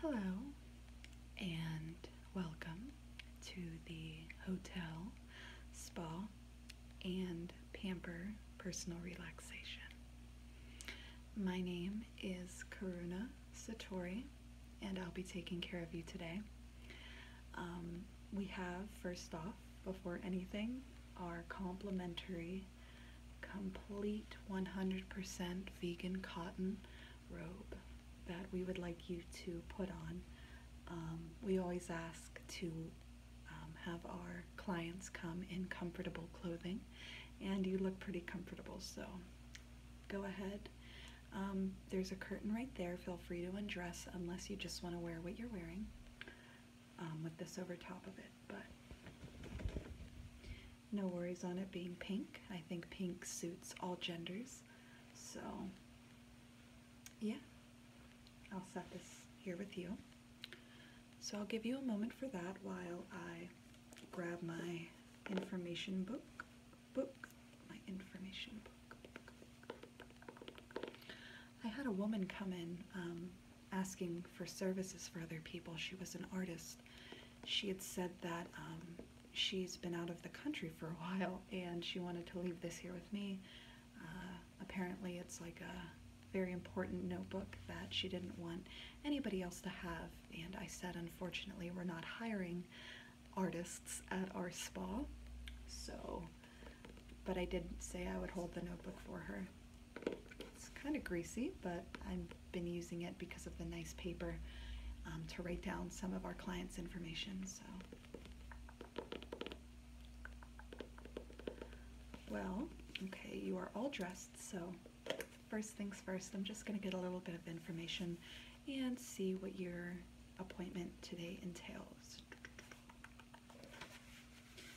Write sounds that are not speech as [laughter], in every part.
Hello and welcome to the hotel, spa, and pamper personal relaxation. My name is Karuna Satori, and I'll be taking care of you today. Um, we have, first off, before anything, our complimentary complete 100% vegan cotton robe that we would like you to put on. Um, we always ask to um, have our clients come in comfortable clothing and you look pretty comfortable so go ahead. Um, there's a curtain right there. Feel free to undress unless you just want to wear what you're wearing with this over top of it. But no worries on it being pink. I think pink suits all genders. So, yeah, I'll set this here with you. So I'll give you a moment for that while I grab my information book, book, my information book. I had a woman come in um, asking for services for other people. She was an artist she had said that um, she's been out of the country for a while and she wanted to leave this here with me. Uh, apparently, it's like a very important notebook that she didn't want anybody else to have, and I said, unfortunately, we're not hiring artists at our spa, so, but I did say I would hold the notebook for her. It's kind of greasy, but I've been using it because of the nice paper um, to write down some of our clients' information. So, well, okay, you are all dressed. So, first things first, I'm just going to get a little bit of information and see what your appointment today entails.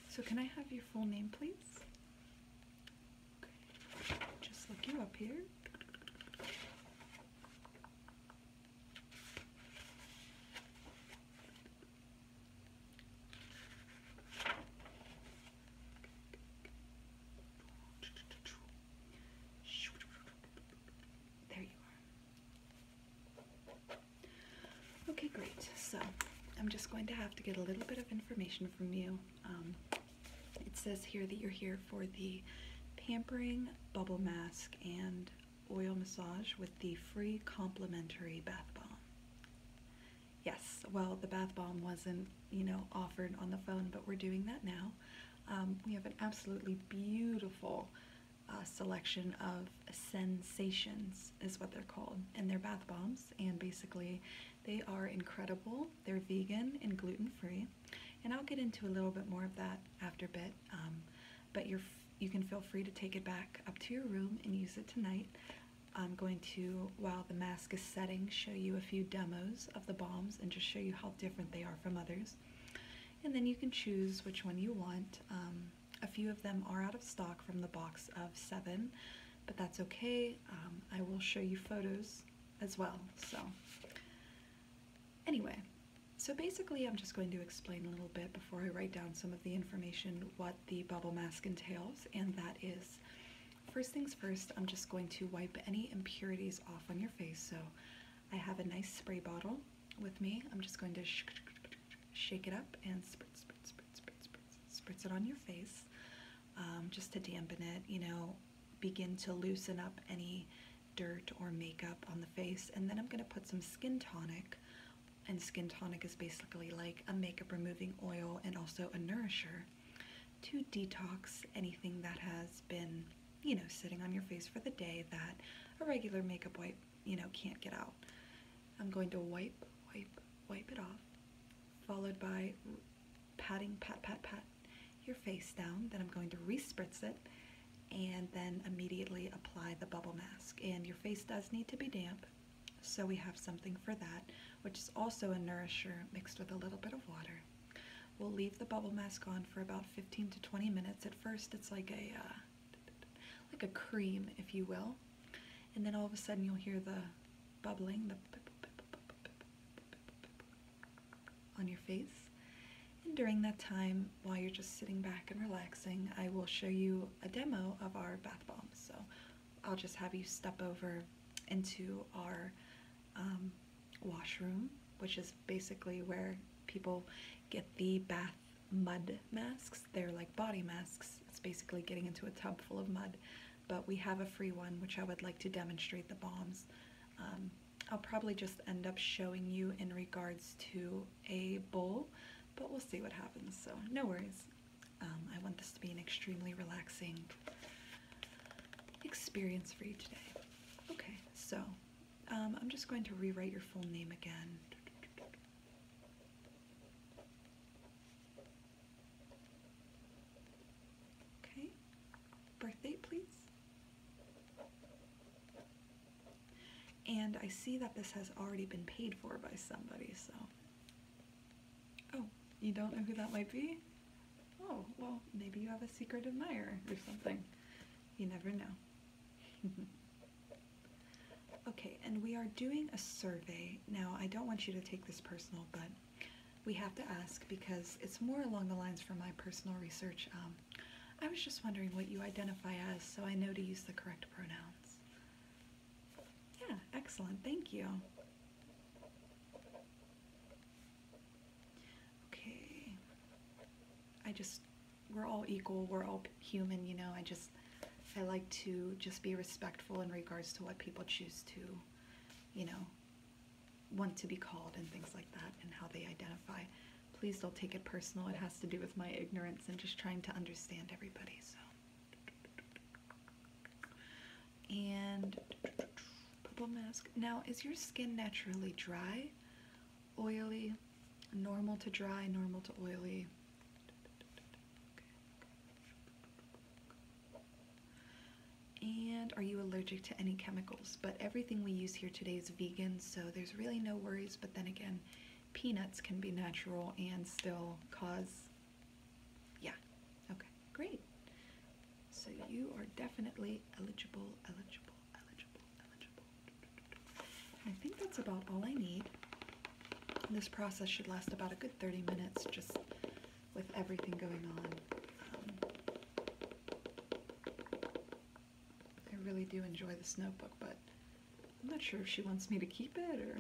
So, can I have your full name, please? Just look you up here. There you are. Okay, great. So I'm just going to have to get a little bit of information from you. Um, it says here that you're here for the pampering, bubble mask, and oil massage with the free complimentary bath bomb. Yes, well, the bath bomb wasn't, you know, offered on the phone, but we're doing that now. Um, we have an absolutely beautiful uh, selection of sensations, is what they're called, and they're bath bombs, and basically they are incredible they're vegan and gluten-free, and I'll get into a little bit more of that after a bit, um, but you're, you can feel free to take it back up to your room and use it tonight. I'm going to, while the mask is setting, show you a few demos of the bombs and just show you how different they are from others. And then you can choose which one you want. Um, a few of them are out of stock from the box of seven, but that's okay. Um, I will show you photos as well. So anyway, so basically I'm just going to explain a little bit before I write down some of the information what the bubble mask entails, and that is first things first, I'm just going to wipe any impurities off on your face. So I have a nice spray bottle with me. I'm just going to shake it up and spritz, spritz, spritz, spritz it on your face. Um, just to dampen it, you know, begin to loosen up any dirt or makeup on the face. And then I'm going to put some skin tonic. And skin tonic is basically like a makeup removing oil and also a nourisher to detox anything that has been, you know, sitting on your face for the day that a regular makeup wipe, you know, can't get out. I'm going to wipe, wipe, wipe it off, followed by patting, pat, pat, pat your face down. Then I'm going to respritz it and then immediately apply the bubble mask. And your face does need to be damp, so we have something for that, which is also a nourisher mixed with a little bit of water. We'll leave the bubble mask on for about 15 to 20 minutes. At first, it's like a uh, like a cream, if you will, and then all of a sudden you'll hear the bubbling, the on your face. And during that time, while you're just sitting back and relaxing, I will show you a demo of our bath bombs. So I'll just have you step over into our um, washroom, which is basically where people get the bath mud masks. They're like body masks. It's basically getting into a tub full of mud but we have a free one which I would like to demonstrate the bombs. Um, I'll probably just end up showing you in regards to a bowl, but we'll see what happens, so no worries. Um, I want this to be an extremely relaxing experience for you today. Okay, so um, I'm just going to rewrite your full name again. Okay, birthdate please. And I see that this has already been paid for by somebody, so. Oh, you don't know who that might be? Oh, well, maybe you have a secret admirer or something. You never know. [laughs] okay, and we are doing a survey. Now, I don't want you to take this personal, but we have to ask because it's more along the lines for my personal research. Um, I was just wondering what you identify as so I know to use the correct pronouns. Yeah, excellent. Thank you. Okay. I just, we're all equal, we're all human, you know. I just, I like to just be respectful in regards to what people choose to, you know, want to be called and things like that and how they identify. Please don't take it personal. It has to do with my ignorance and just trying to understand everybody. So and purple mask. Now, is your skin naturally dry, oily, normal to dry, normal to oily? And are you allergic to any chemicals? But everything we use here today is vegan, so there's really no worries. But then again, peanuts can be natural and still cause. Yeah, okay, great. So you are definitely eligible, eligible, eligible, eligible. I think that's about all I need. This process should last about a good 30 minutes, just with everything going on. Um, I really do enjoy this notebook, but I'm not sure if she wants me to keep it or.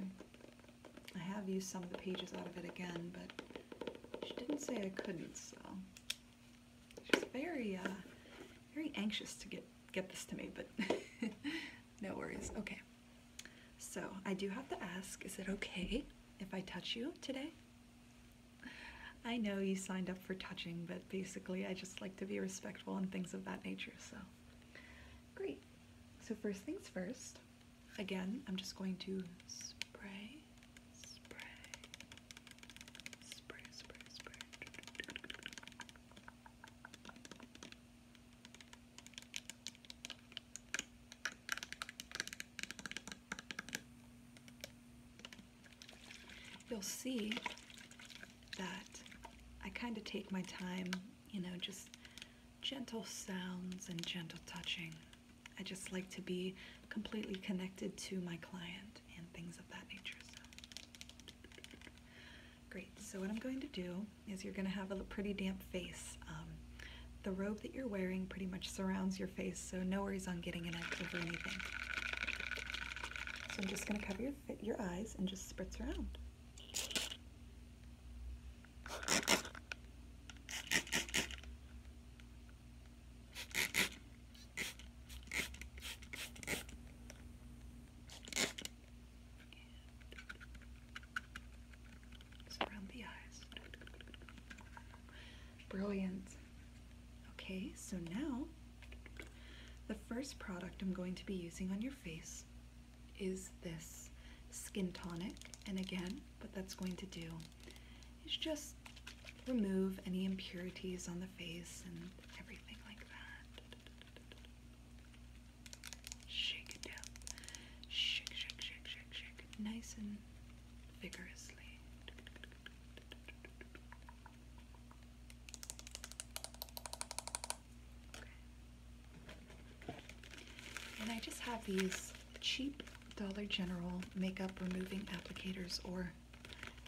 I have used some of the pages out of it again, but she didn't say I couldn't, so. She's very, uh, very anxious to get, get this to me, but [laughs] no worries. Okay. So, I do have to ask, is it okay if I touch you today? I know you signed up for touching, but basically I just like to be respectful and things of that nature, so great. So first things first, again, I'm just going to spray, spray, spray, spray, spray. You'll see that I kind of take my time, you know, just gentle sounds and gentle touching. I just like to be completely connected to my client and things of that nature. So. Great, so what I'm going to do is you're gonna have a pretty damp face. Um, the robe that you're wearing pretty much surrounds your face, so no worries on getting an edge over anything. So I'm just going to cover your, your eyes and just spritz around. Surround the eyes. Brilliant. Okay, so now the first product I'm going to be using on your face is this skin tonic. And again, what that's going to do is just remove any impurities on the face and everything like that. Shake it down. Shake, shake, shake, shake, shake. Nice and vigorously. And I just have these cheap Dollar General makeup removing applicators or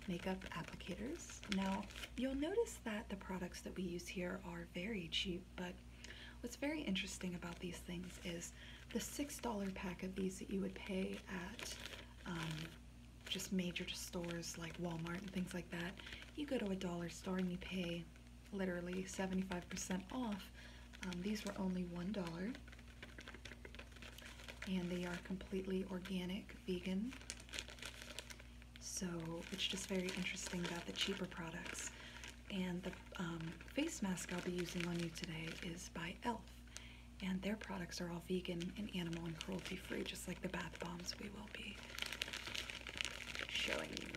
makeup applicators. Now, you'll notice that the products that we use here are very cheap, but what's very interesting about these things is the $6 pack of these that you would pay at um, just major stores like Walmart and things like that. You go to a dollar store and you pay literally 75% off. Um, these were only $1 and they are completely organic vegan. So it's just very interesting about the cheaper products. And the um, face mask I'll be using on you today is by e.l.f. And their products are all vegan and animal and cruelty free, just like the bath bombs we will be showing you.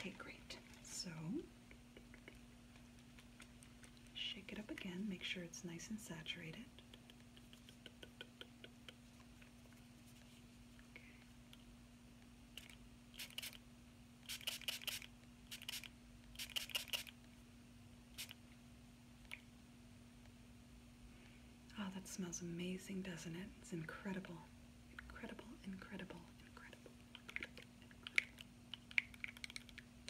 Okay, great. So shake it up again, make sure it's nice and saturated. Oh, that smells amazing, doesn't it? It's incredible. Incredible, incredible, incredible, incredible, incredible.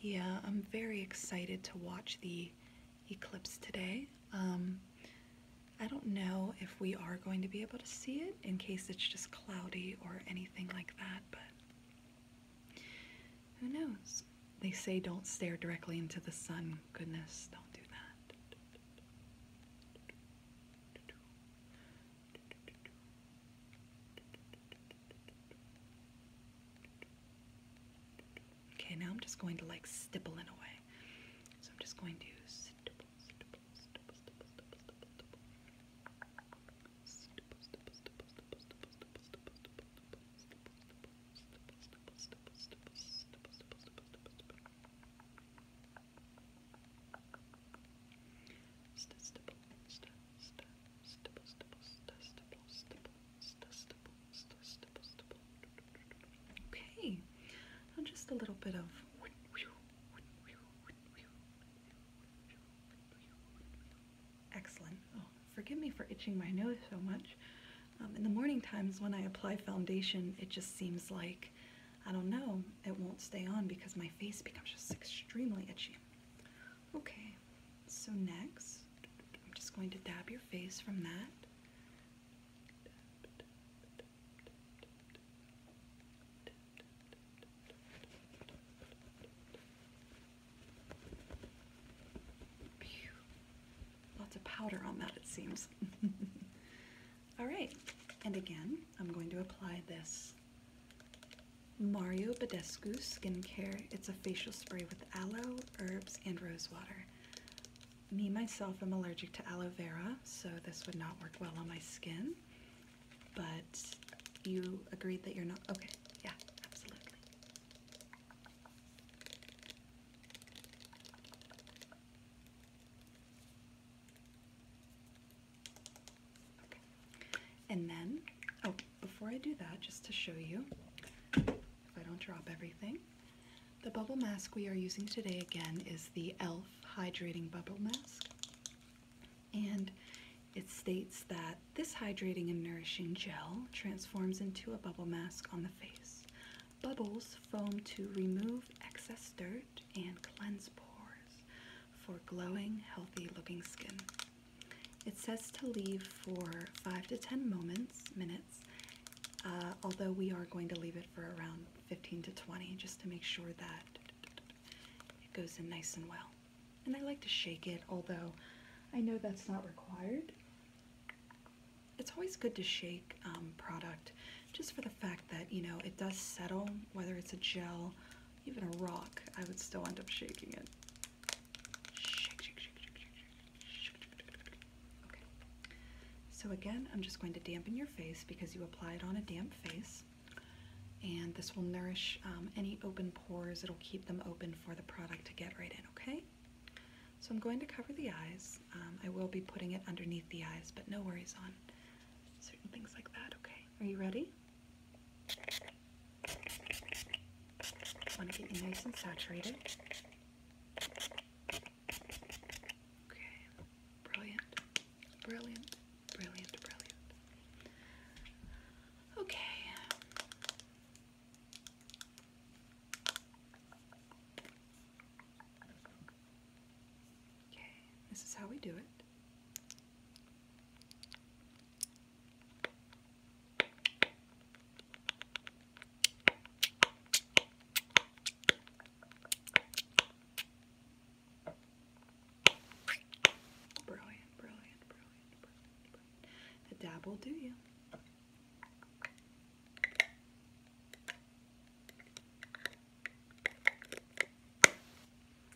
Yeah, I'm very excited to watch the eclipse today. Um, I don't know if we are going to be able to see it in case it's just cloudy or anything like that, but who knows? They say don't stare directly into the sun. Goodness, don't do that. Okay, now I'm just going to like stipple in a way. So I'm just going to stipple, Okay, now just a little bit of. Excellent. Oh, forgive me for itching my nose so much. Um, in the morning times when I apply foundation, it just seems like, I don't know, it won't stay on because my face becomes just extremely itchy. Okay, so next, I'm just going to dab your face from that. Lots of powder on that, it seems. [laughs] All right, and again, I'm going to apply this Mario Badescu Skincare. It's a facial spray with aloe, herbs, and rosewater. Me, myself, am allergic to aloe vera, so this would not work well on my skin. But you agreed that you're not. Okay, yeah, absolutely. And then, oh, before I do that, just to show you, if I don't drop everything, the bubble mask we are using today again is the e.l.f. Hydrating Bubble Mask. And it states that this hydrating and nourishing gel transforms into a bubble mask on the face. Bubbles foam to remove excess dirt and cleanse pores for glowing, healthy looking skin. It says to leave for five to ten moments, minutes, uh, although we are going to leave it for around 15 to 20 just to make sure that it goes in nice and well. And I like to shake it, although I know that's not required. It's always good to shake um, product just for the fact that, you know, it does settle, whether it's a gel even a rock, I would still end up shaking it. So again, I'm just going to dampen your face because you apply it on a damp face. And this will nourish um, any open pores. It'll keep them open for the product to get right in, okay? So I'm going to cover the eyes. Um, I will be putting it underneath the eyes, but no worries on certain things like that, okay? Are you ready? Want to get you nice and saturated. Okay, brilliant, brilliant, brilliant, brilliant. Okay. Okay, this is how we do it. Brilliant, brilliant, brilliant, brilliant, A dab will do you.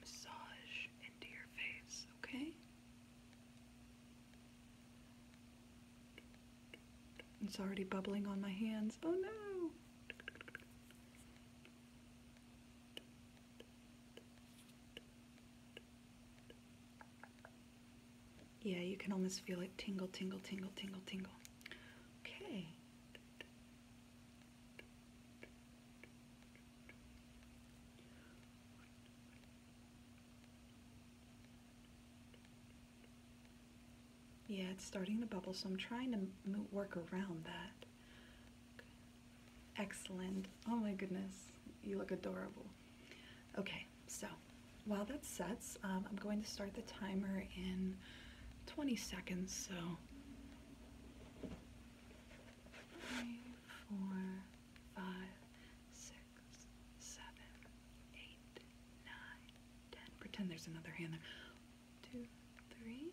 massage into your face, okay? It's already bubbling on my hands. Oh no! Yeah, you can almost feel it tingle, tingle, tingle, tingle, tingle. Okay. Yeah, it's starting to bubble, so I'm trying to work around that. Excellent. Oh my goodness, you look adorable. Okay, so while that sets, um, I'm going to start the timer in 20 seconds, so three, four, five, six, seven, eight, nine, ten. Pretend there's another hand there. Two, three,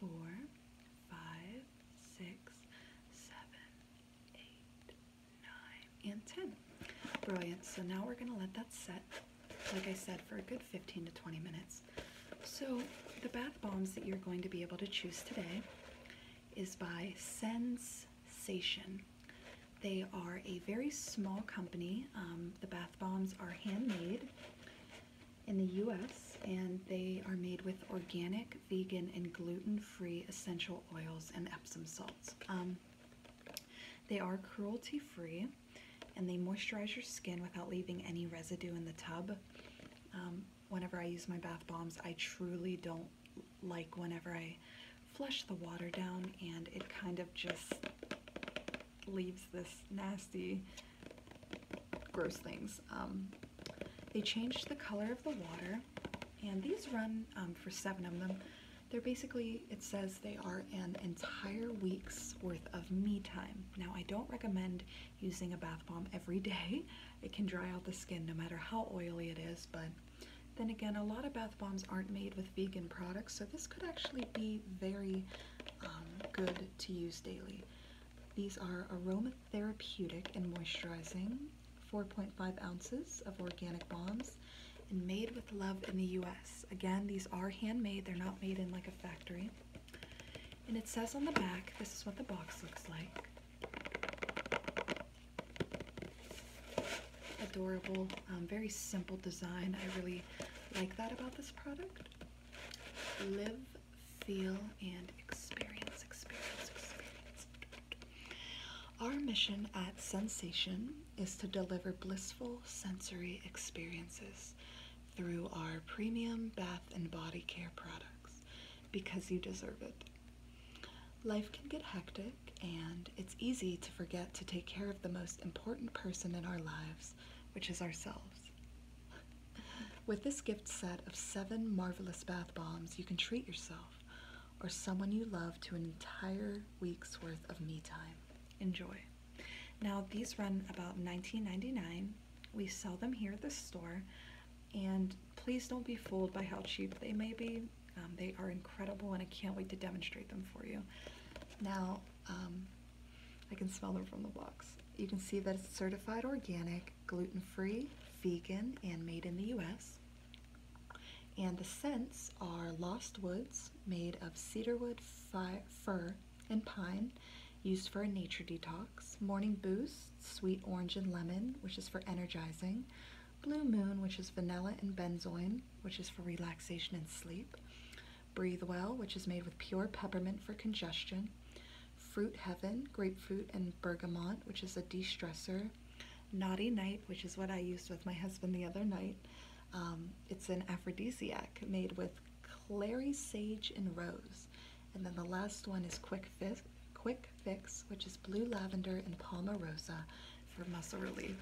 four, five, six, seven, eight, nine, and ten. Brilliant. So now we're going to let that set, like I said, for a good 15 to 20 minutes. So the bath bombs that you're going to be able to choose today is by Sensation. They are a very small company. Um, the bath bombs are handmade in the US and they are made with organic, vegan, and gluten-free essential oils and Epsom salts. Um, they are cruelty-free and they moisturize your skin without leaving any residue in the tub. Um, whenever I use my bath bombs. I truly don't like whenever I flush the water down and it kind of just leaves this nasty, gross things. Um, they changed the color of the water and these run um, for seven of them. They're basically, it says they are an entire week's worth of me time. Now I don't recommend using a bath bomb every day. It can dry out the skin no matter how oily it is, but then again, a lot of bath bombs aren't made with vegan products, so this could actually be very um, good to use daily. These are aromatherapeutic and moisturizing, 4.5 ounces of organic bombs, and made with love in the US. Again, these are handmade, they're not made in like a factory. And it says on the back, this is what the box looks like. Adorable, um, very simple design. I really like that about this product. Live, feel, and experience. Our mission at Sensation is to deliver blissful sensory experiences through our premium bath and body care products because you deserve it. Life can get hectic, and it's easy to forget to take care of the most important person in our lives, which is ourselves. [laughs] With this gift set of seven marvelous bath bombs, you can treat yourself or someone you love to an entire week's worth of me time. Enjoy. Now, these run about $19.99. We sell them here at the store and please don't be fooled by how cheap they may be. Um, they are incredible and I can't wait to demonstrate them for you. Now, um, I can smell them from the box. You can see that it's certified organic, gluten-free, vegan, and made in the U.S. And the scents are Lost Woods, made of cedarwood, fir, and pine, used for a nature detox, Morning Boost, sweet orange and lemon, which is for energizing, Blue Moon, which is vanilla and benzoin, which is for relaxation and sleep, Breathe Well, which is made with pure peppermint for congestion, Fruit Heaven, grapefruit and bergamot, which is a de-stressor, Naughty Night, which is what I used with my husband the other night. Um, it's an aphrodisiac made with Clary Sage and Rose. And then the last one is Quick Fix, Quick Fix which is Blue Lavender and Palmarosa for muscle relief.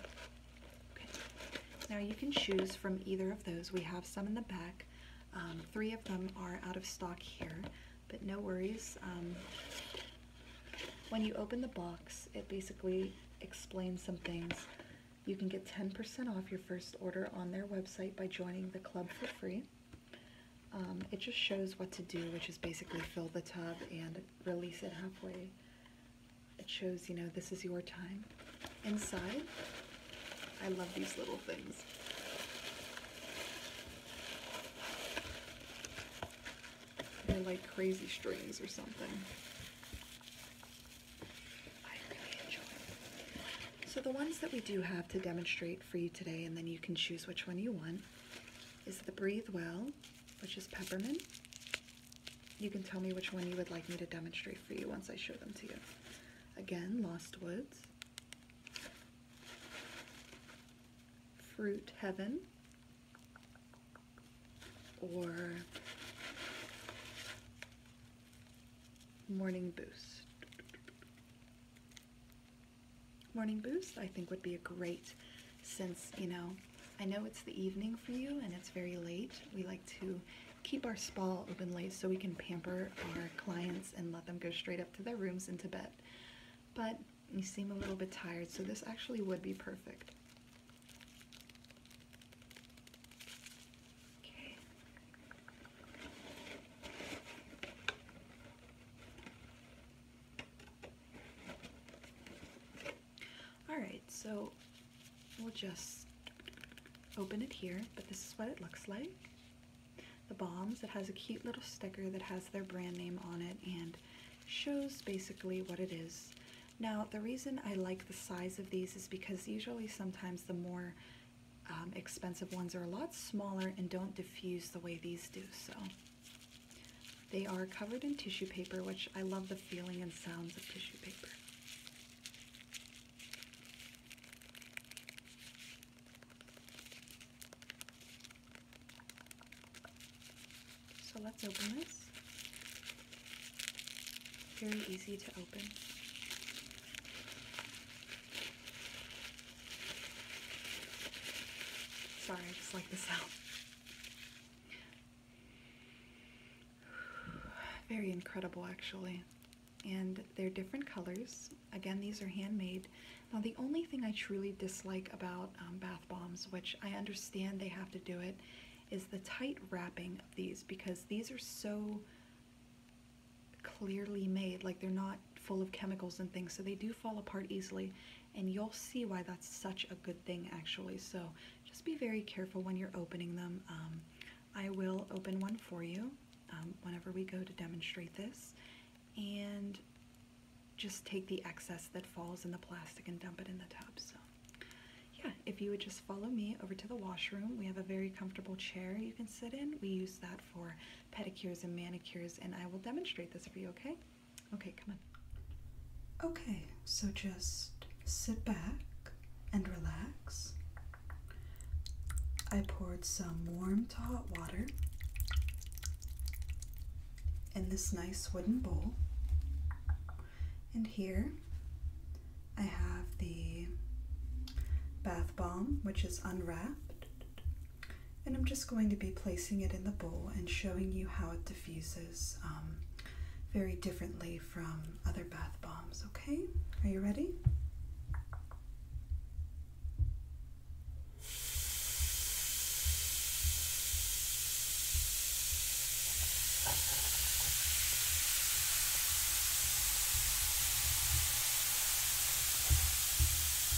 Now you can choose from either of those. We have some in the back. Um, three of them are out of stock here, but no worries. Um, when you open the box, it basically explains some things. You can get 10% off your first order on their website by joining the club for free. Um, it just shows what to do, which is basically fill the tub and release it halfway. It shows, you know, this is your time. Inside, I love these little things. They're like crazy strings or something. So the ones that we do have to demonstrate for you today, and then you can choose which one you want, is the Breathe Well, which is peppermint. You can tell me which one you would like me to demonstrate for you once I show them to you. Again, Lost Woods. Fruit Heaven. Or Morning Boost morning boost I think would be a great since you know I know it's the evening for you and it's very late we like to keep our spa open late so we can pamper our clients and let them go straight up to their rooms and to bed but you seem a little bit tired so this actually would be perfect okay Alright, so we'll just open it here, but this is what it looks like. The Bombs, it has a cute little sticker that has their brand name on it and shows basically what it is. Now, the reason I like the size of these is because usually sometimes the more um, expensive ones are a lot smaller and don't diffuse the way these do. So they are covered in tissue paper, which I love the feeling and sounds of tissue paper. So let's open this. Very easy to open. Sorry, I just like the sound. [sighs] Very incredible, actually. And they're different colors. Again, these are handmade. Now, the only thing I truly dislike about um, bath bombs, which I understand they have to do it, is the tight wrapping of these because these are so clearly made, like they're not full of chemicals and things, so they do fall apart easily. And you'll see why that's such a good thing, actually. So just be very careful when you're opening them. Um, I will open one for you um, whenever we go to demonstrate this. And just take the excess that falls in the plastic and dump it in the tub. So yeah, if you would just follow me over to the washroom, we have a very comfortable chair you can sit in. We use that for pedicures and manicures, and I will demonstrate this for you, okay? Okay, come on. Okay, so just sit back and relax. I poured some warm to hot water in this nice wooden bowl. And here I have the bath bomb, which is unwrapped and I'm just going to be placing it in the bowl and showing you how it diffuses um, very differently from other bath bombs, okay? Are you ready?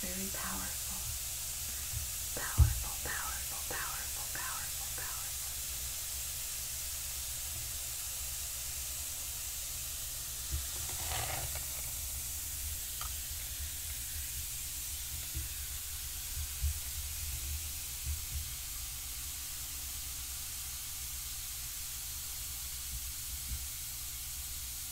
Very powerful. Powerful, powerful, powerful, powerful, powerful.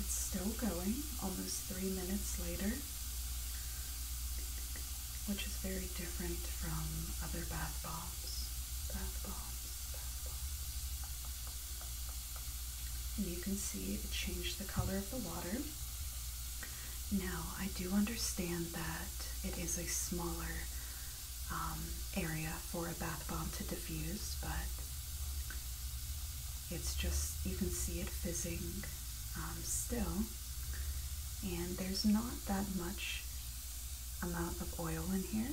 It's still going almost three minutes later which is very different from other bath bombs. Bath bombs, And you can see it changed the color of the water. Now, I do understand that it is a smaller um, area for a bath bomb to diffuse, but it's just, you can see it fizzing um, still, and there's not that much amount of oil in here.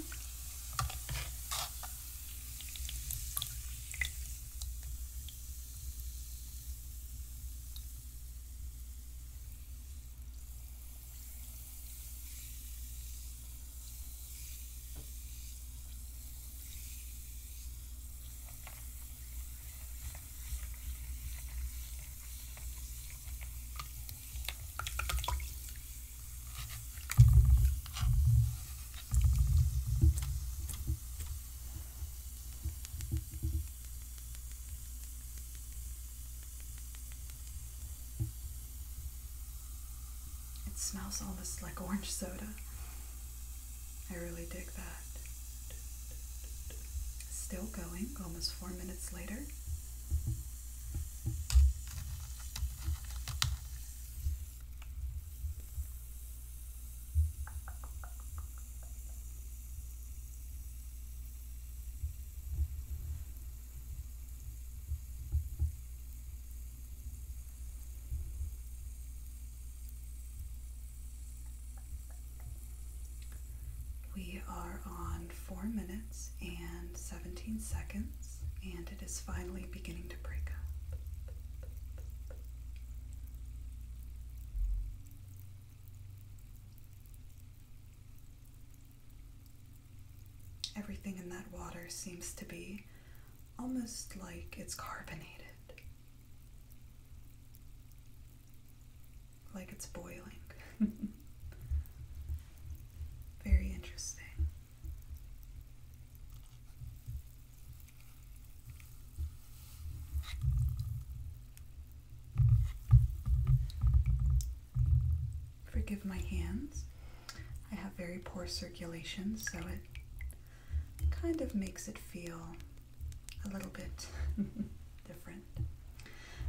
It smells almost like orange soda. I really dig that. Still going, almost four minutes later. We are on 4 minutes and 17 seconds, and it is finally beginning to break up. Everything in that water seems to be almost like it's carbonated like it's boiling. [laughs] Very interesting. Forgive my hands. I have very poor circulation, so it kind of makes it feel a little bit [laughs] different.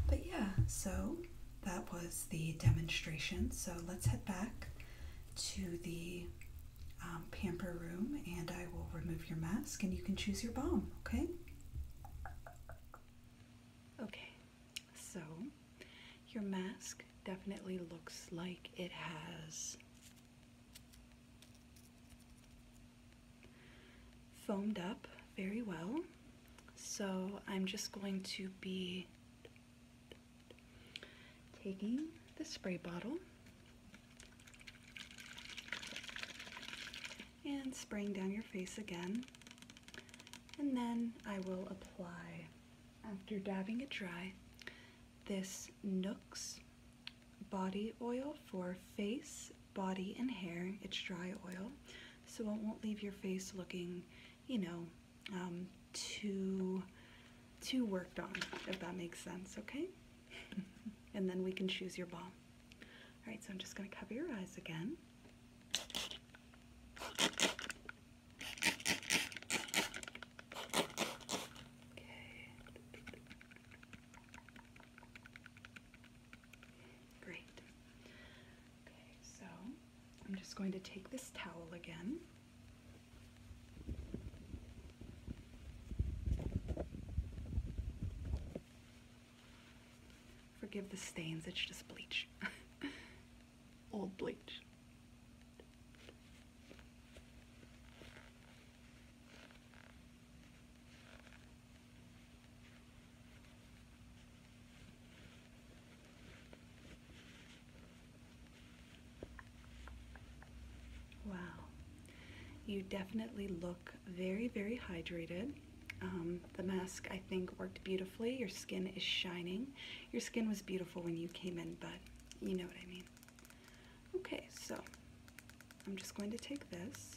But yeah, so that was the demonstration. So let's head back to the um, pamper room and I will remove your mask and you can choose your balm, okay? Okay, so your mask definitely looks like it has foamed up very well. So I'm just going to be taking the spray bottle and spraying down your face again. And then I will apply, after dabbing it dry, this Nooks body oil for face, body, and hair. It's dry oil so it won't leave your face looking, you know, um, too, too worked on, if that makes sense, okay? [laughs] and then we can choose your balm. All right, so I'm just gonna cover your eyes again. Okay. Great. Okay, so I'm just going to take this towel again. Forgive the stains, it's just bleach. [laughs] Old bleach. Wow, you definitely look very, very hydrated. Um, the mask, I think, worked beautifully. Your skin is shining. Your skin was beautiful when you came in, but you know what I mean. Okay, so I'm just going to take this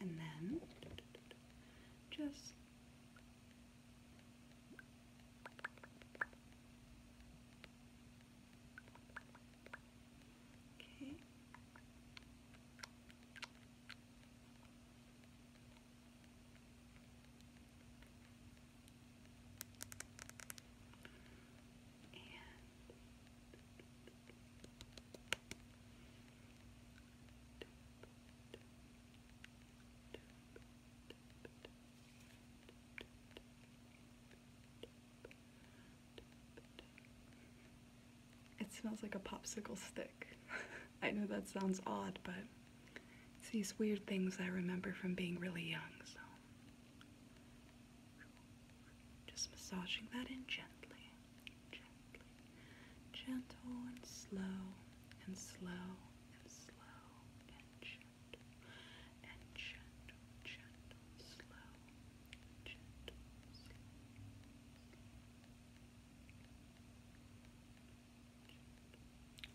And then just okay. It smells like a popsicle stick. [laughs] I know that sounds odd, but it's these weird things I remember from being really young, so. Just massaging that in gently gentle and slow, and slow and slow and gentle, and gentle, gentle, slow, gentle, slow.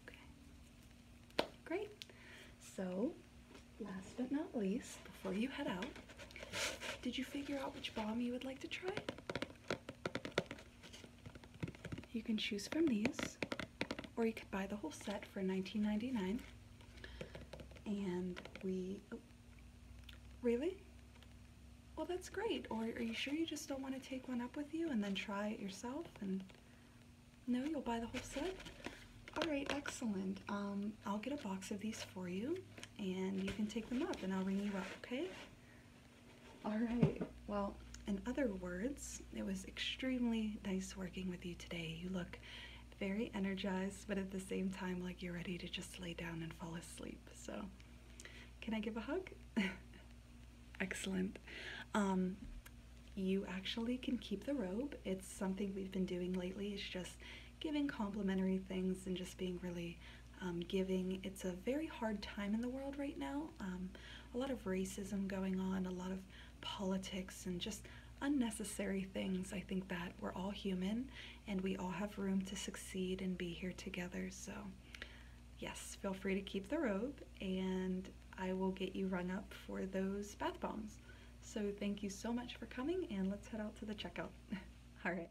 Okay, great. So, last but not least, before you head out, did you figure out which bomb you would like to try? You can choose from these, or you could buy the whole set for $19.99. And we, oh, really? Well, that's great. Or are you sure you just don't want to take one up with you and then try it yourself? And no, you'll buy the whole set? All right, excellent. Um, I'll get a box of these for you and you can take them up and I'll ring you up, okay? All right. Well, in other words, it was extremely nice working with you today. You look very energized, but at the same time, like you're ready to just lay down and fall asleep. So, can I give a hug? [laughs] Excellent. Um, you actually can keep the robe. It's something we've been doing lately. It's just giving complimentary things and just being really um, giving. It's a very hard time in the world right now. Um, a lot of racism going on, a lot of politics, and just unnecessary things. I think that we're all human and we all have room to succeed and be here together. So, yes, feel free to keep the robe and I will get you rung up for those bath bombs. So, thank you so much for coming and let's head out to the checkout. [laughs] all right.